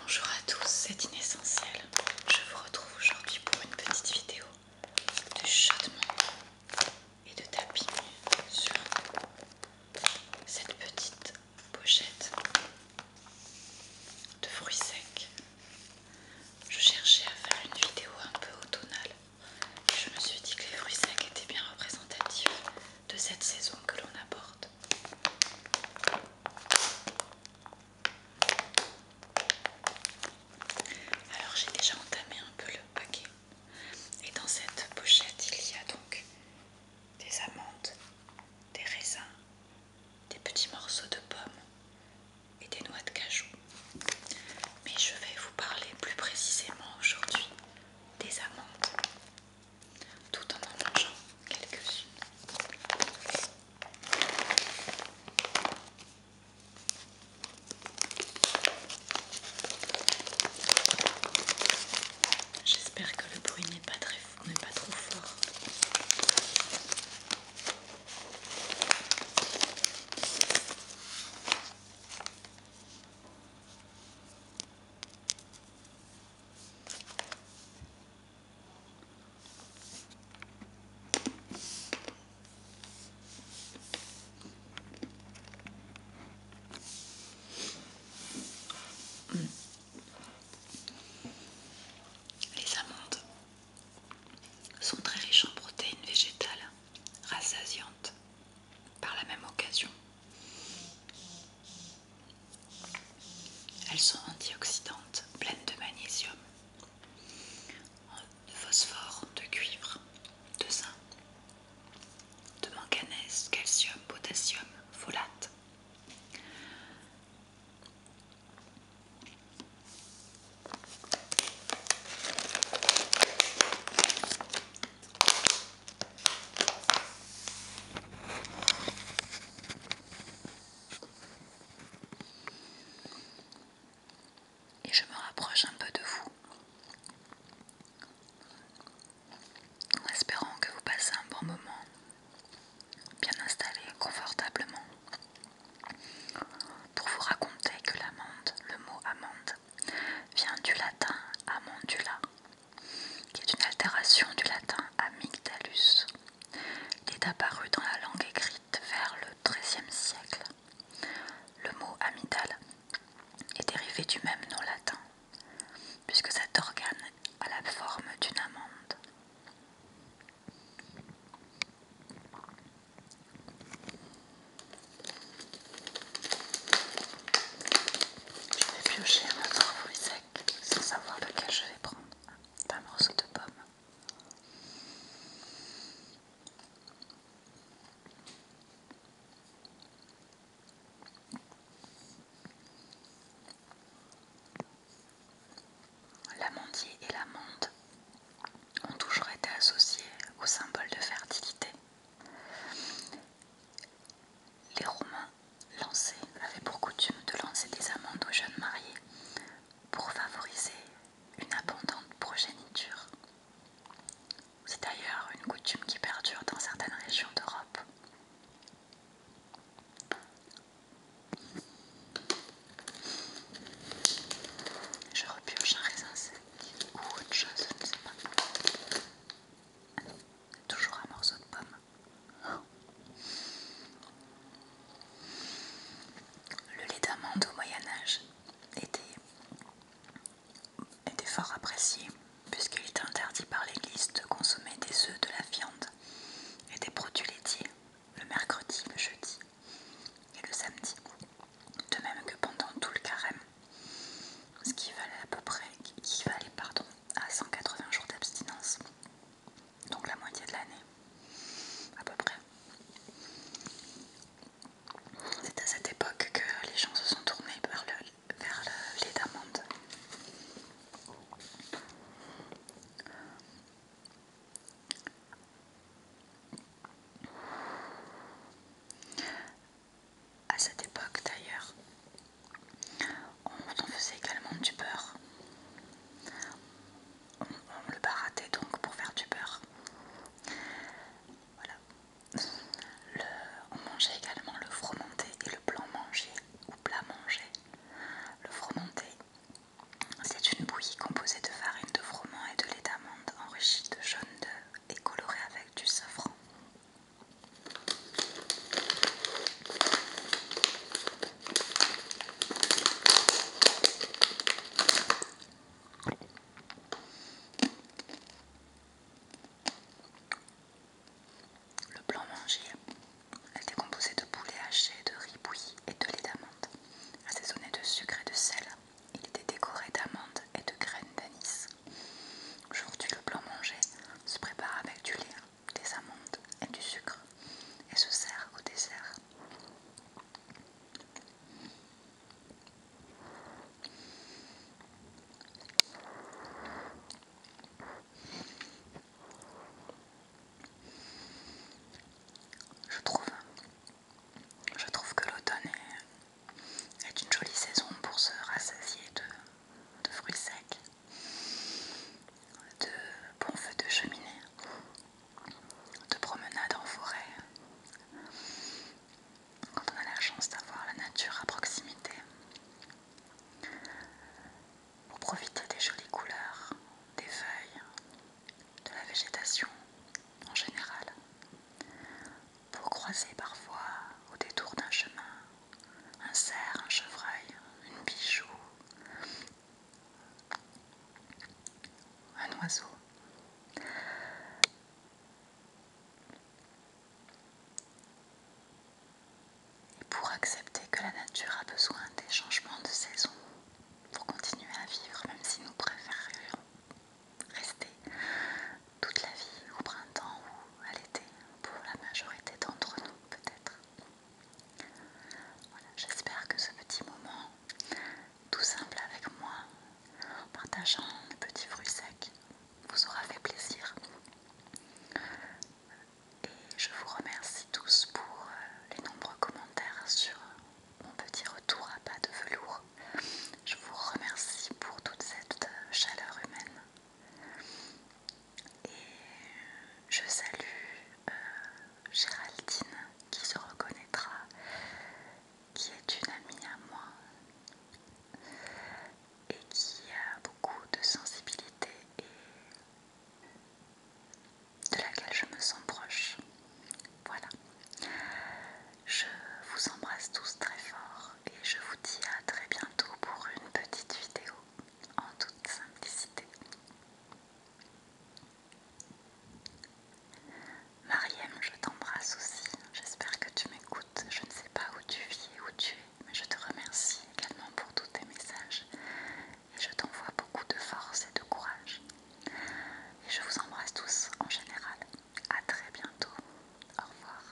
Bonjour à tous, c'est Inessentiel. Je vous retrouve aujourd'hui pour une petite vidéo de chaudement et de tapis sur cette petite pochette de fruits secs. Je cherchais à faire une vidéo un peu automnale je me suis dit que les fruits secs étaient bien représentatifs de cette saison que l'on apporte. Alors j'ai déjà entamé un peu le paquet. Et dans cette pochette, il y a donc des amandes, des raisins, des petits morceaux de pommes, et des noix de cajou. Mais je vais vous parler plus précisément aujourd'hui des amandes, tout en en mangeant quelques-unes. J'espère que le bruit n'est pas, pas trop fort. Les amandes sont très riches en protéines végétales, rassasiantes par la même occasion. Elles sont antioxydantes, pleines de magnésium, de phosphore, de cuivre, de zinc, de manganèse, calcium, potassium, folate. Et je me rapproche un peu de vous en espérant que vous passez un bon moment bien installé confortablement pour vous raconter que l'amande, le mot amande, vient du latin amandula, qui est une altération du latin amygdalus. Il est apparu dans la langue écrite vers le XIIIe siècle. Le mot amygdale est dérivé du même nom latin, puisque cet organe a la forme d'une amande. Je vais piocher un autre fruit sec sans savoir lequel je vais prendre. Un morceau de pomme. L'amandier et l'amande ont toujours été associés au symbole de fertilité. Les Romains avaient pour coutume de lancer des amandes aux jeunes mariés pour favoriser une abondante progéniture. C'est d'ailleurs une coutume qui perdure dans certaines régions d'Europe. Je repurge un raisin sec ou autre chose, je ne sais pas. Toujours un morceau de pomme. Le lait d'amande au Moyen-Âge était, était fort apprécié puisqu'il était interdit par l'Église de consommer des œufs, de la viande et des produits laitiers le mercredi, le jeudi et le samedi, de même que pendant tout le carême, ce qui valait à peu près, qui pardon, à 180 jours d'abstinence, donc la moitié de l'année, à peu près. C'est à cette époque que les gens se sont tournés vers le, vers le lait d'amande. À cette époque d'ailleurs, on faisait également du beurre. On, le baratait donc pour faire du beurre. Voilà. Le, on mangeait également le fromenté et le blanc mangé ou plat manger, Le fromenté, c'est une bouillie composée de farine de froment et de lait d'amande enrichie de jaune d'œuf et colorée avec du safran. Le blanc mangé était composé de poulet haché, de riz bouilli et de lait d'amande. Assaisonné de sucre et de sel, il était décoré d'amandes et de graines d'anis. Aujourd'hui, le blanc mangé se prépare avec du lait, des amandes et du sucre et se sert au dessert. Je trouve, je trouve que l'automne est, une jolie saison pour se rassasier de, fruits secs, de bons feux de cheminée, de promenades en forêt, quand on a la chance d'avoir la nature à proximité pour profiter des jolies couleurs, des feuilles, de la végétation en général, pour croiser parfois au détour d'un chemin un cerf, un chevreuil, une bijou, un oiseau. Et pour accepter que la nature a besoin des changements de saison pour continuer à vivre, même si nous préférions rester toute la vie au printemps ou à l'été, pour la majorité d'entre nous peut-être. Voilà, j'espère que ce petit moment tout simple avec moi, en partageant des petits fruits secs, vous aura fait plaisir. Et je vous remercie tous pour euh, les nombreux commentaires sur mon petit retour à pas de velours. Je vous remercie pour toute cette euh, chaleur humaine. Et je salue euh, Géraldine qui se reconnaîtra qui est une amie à moi et qui a beaucoup de sensibilité et de laquelle je me sens proche. Voilà. Je vous embrasse tous très fort et je vous dis à très bientôt pour une petite vidéo en toute simplicité. Mariem je t'embrasse aussi. J'espère que tu m'écoutes. Je ne sais pas où tu vis et où tu es, mais je te remercie également pour tous tes messages. Et je t'envoie beaucoup de force et de courage. Et je vous embrasse tous en général. à très bientôt. Au revoir.